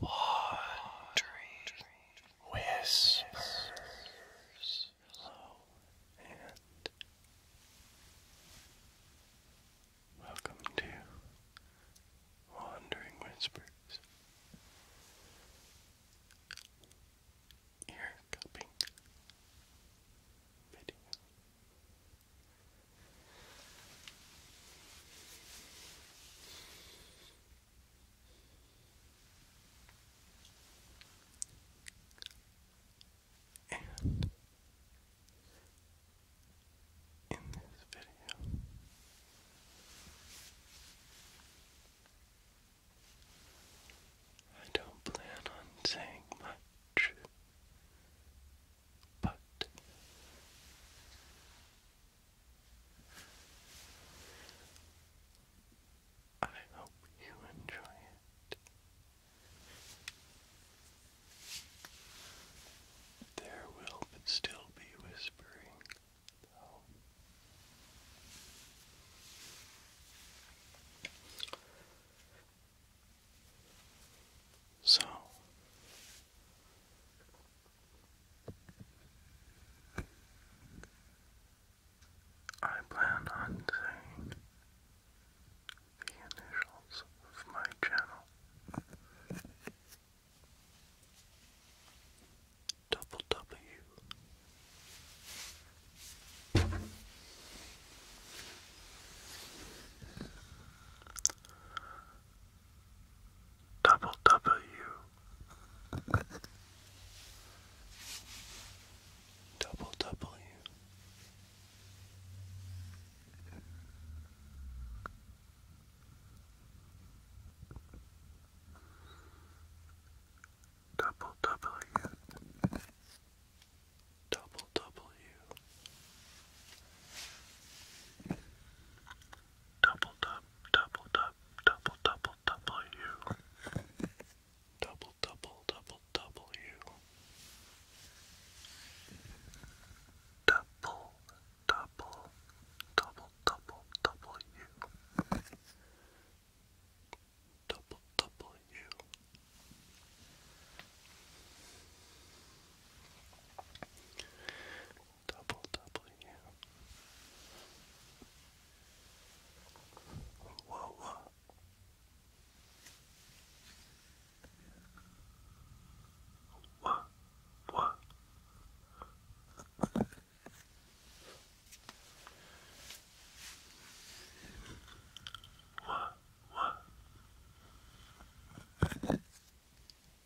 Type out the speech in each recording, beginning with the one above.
Laundry whispers, whispers hello and welcome to Wandering Whispers. Ear cupping video. And in this video, I don't plan on saying much, but I hope you enjoy it. There will still be whispering, though. So, I plan on saying the initials of my channel. W. Double W. Double W. Double W. Double W double dub, double dub, double double W, double double double W, double double double double W, double W double W. Whoa, What? What? What? What?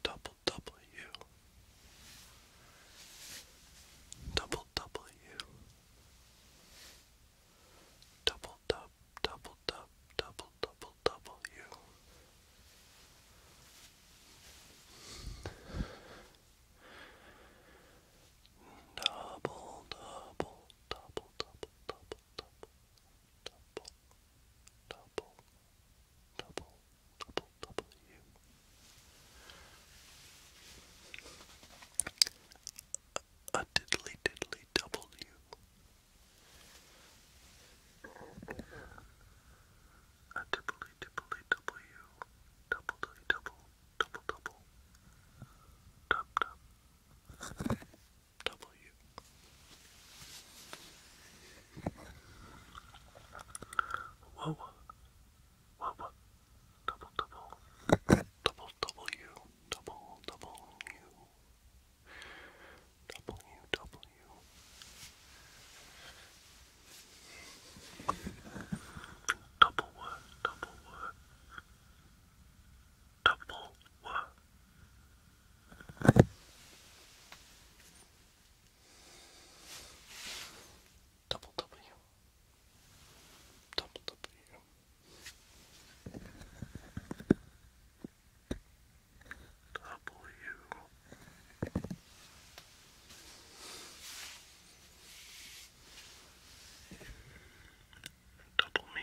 Double W. Double W. Double dub, double dub, double double W. Double, double, double, double, double, double, double, double, double, double, double U. A diddly diddly double U. A diddly diddly double U. Double, double, double, double, double. Dub, dub. W. Whoa. Whoa. Double, double. Double, double you. Double, double you. Double you, double you. Double what? Double what? Double what? Double W. Double W. W. Double me.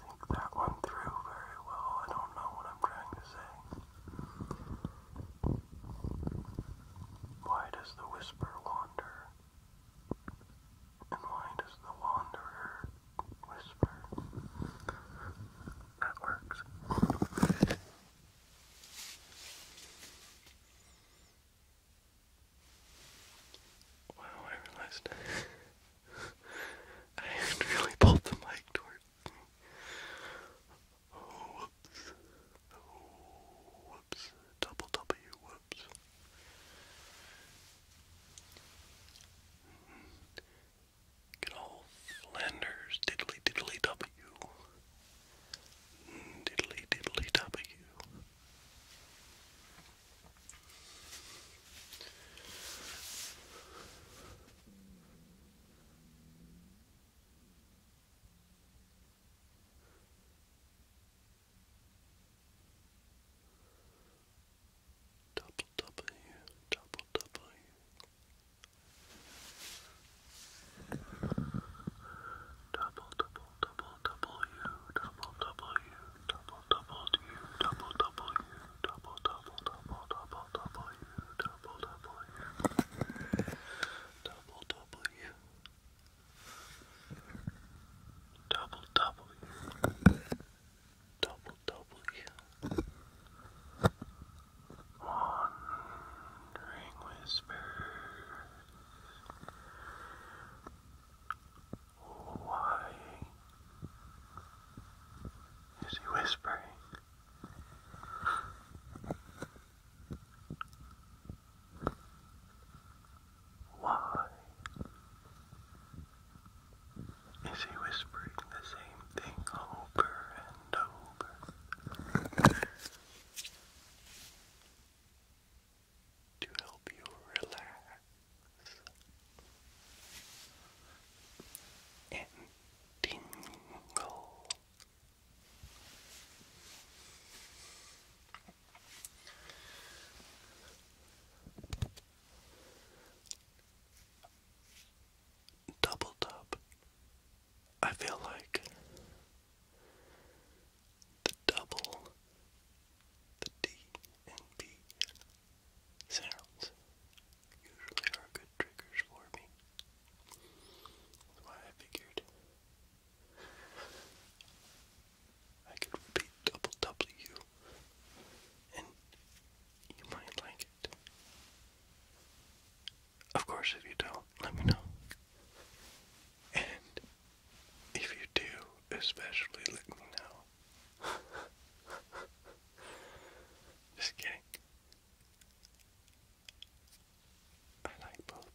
think that one through very well. I don't know what I'm trying to say. Why does the whisper wander? And why does the wanderer whisper? That works. Wow, I realized I really pulled the mic towards oh, whoops. Oh, whoops. Double W, whoops. Mm-hmm. Get all Flanders, diddly diddly W. Mm, diddly diddly W. Double you, double W, double double double W double W double double U double double U double double double double double U double double U double W double W double W Wandering Whispers why is he whispering? Why is he whispering the same thing over and over? to help you relax and tingle. Doubled up. I feel like the double, the D and B Sounds usually are good triggers for me. That's why I figured I could repeat double W and you might like it. Of course, if you don't, let me know. And if you do, especially let me know Just kidding. I like both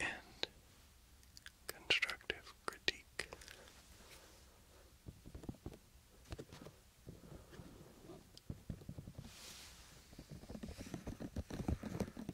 And constructive critique.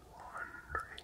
wandering whispers.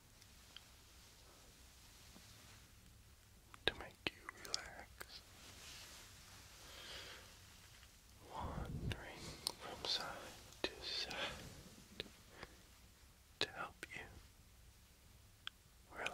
to make you relax, wandering from side to side to help you relax.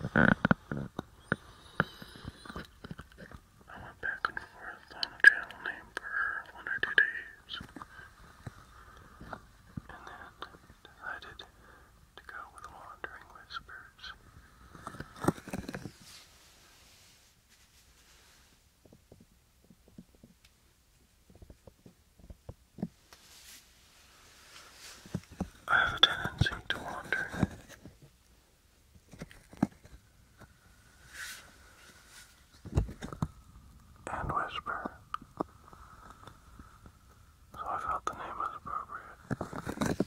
I went back and forth on a channel name for one or two days, and then decided to go with Wandering Whispers. I have a tendency to wander. And whisper. So I felt the name was appropriate.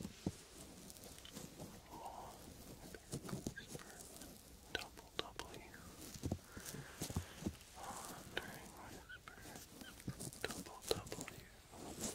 Law Whisper Double W. Wandering Whispers Double W. Wandering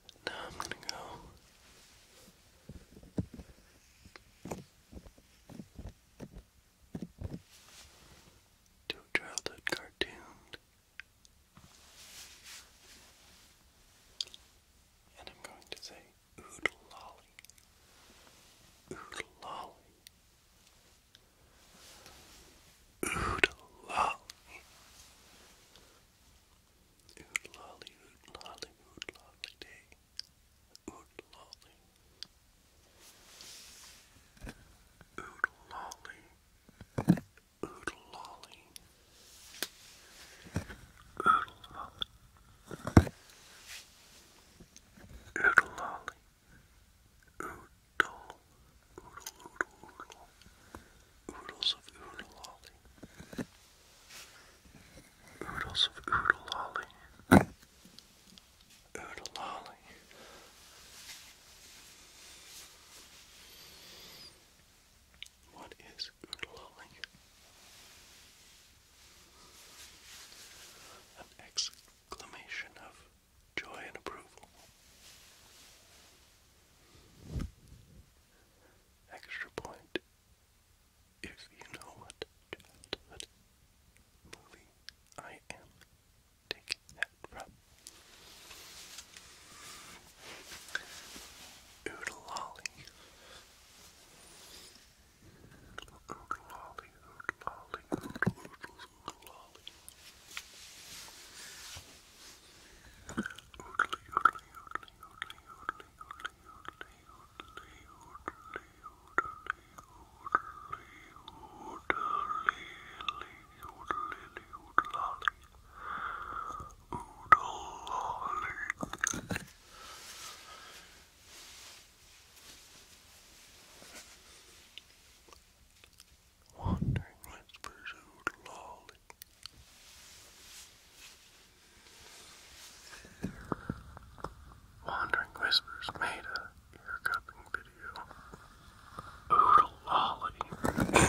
Now I'm going to go. To a childhood cartoon. And I'm going to say oodle lolly. Oodle lolly. Oodle lolly. Oot lolly, oot lolly, oot lolly day. Oot lolly. Oot lolly. Oot lolly. Oot lolly. Oot lolly. Oot lolly oodle, oodle, oodle, oodle, oodles of oodle lolly, oodles of oodle lolly, oodle lolly. What is oodle lolly? An exclamation of joy and approval. Extra point if you know what childhood movie I am taking that from. Oodalolly. Oodalolly, oodalolly, oodalolly, oodalolly. Oodly, oodly, oodly, oodly, oodly, oodly, oodly, oodly, oodly, oodly, oodly, oodly, oodly, oodlolly. Oodlolly wandering whispers oodle Wandering Whispers made a hair cupping video. Oodle lolly.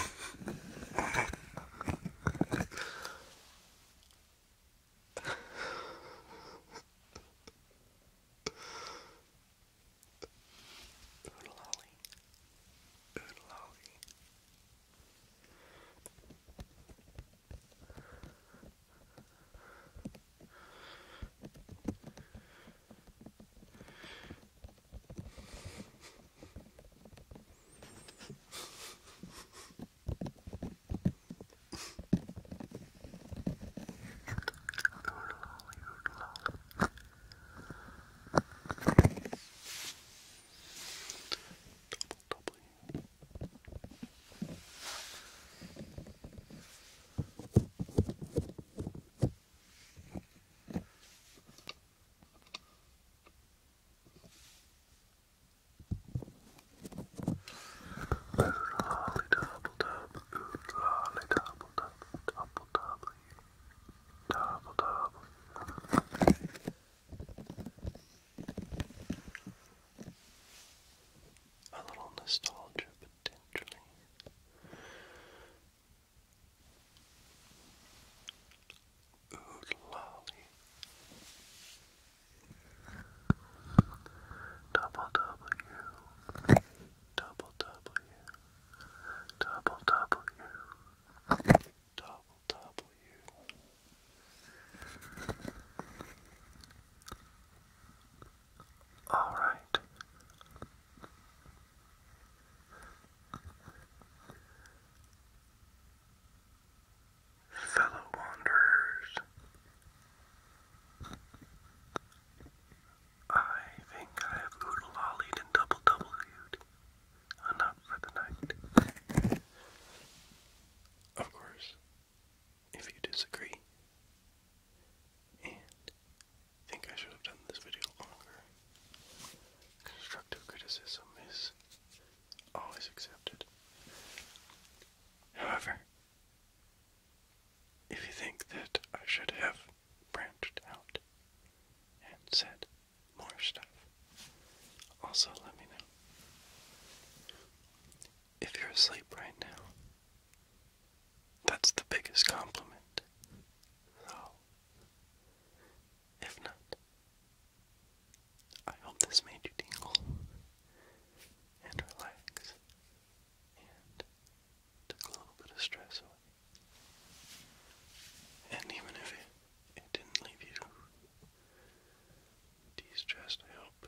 Oolali. Oodalali, oodalali. Double, double. Lollydubble dub, lollydubble dub, double, double, Double, double. A little nostalgia potentially. Ood lolly. Double W. Double W. Double W double W. All right. Fellow wanderers, I think I have oodle lollied and double W'd and for the night. Of course, if you disagree and think I should have done this video longer, constructive criticism is always accepted. However, if you think that I should have branched out and said more stuff. Also, let me know if you're asleep right now. That's the biggest compliment. So, if not, I hope this made you tingle and relax and took a little bit of stress away. And even if it, didn't leave you de-stressed, I hope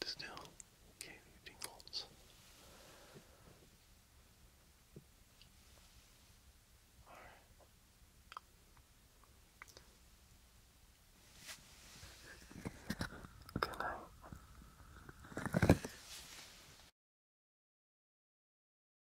it still gave you tingles. Good night.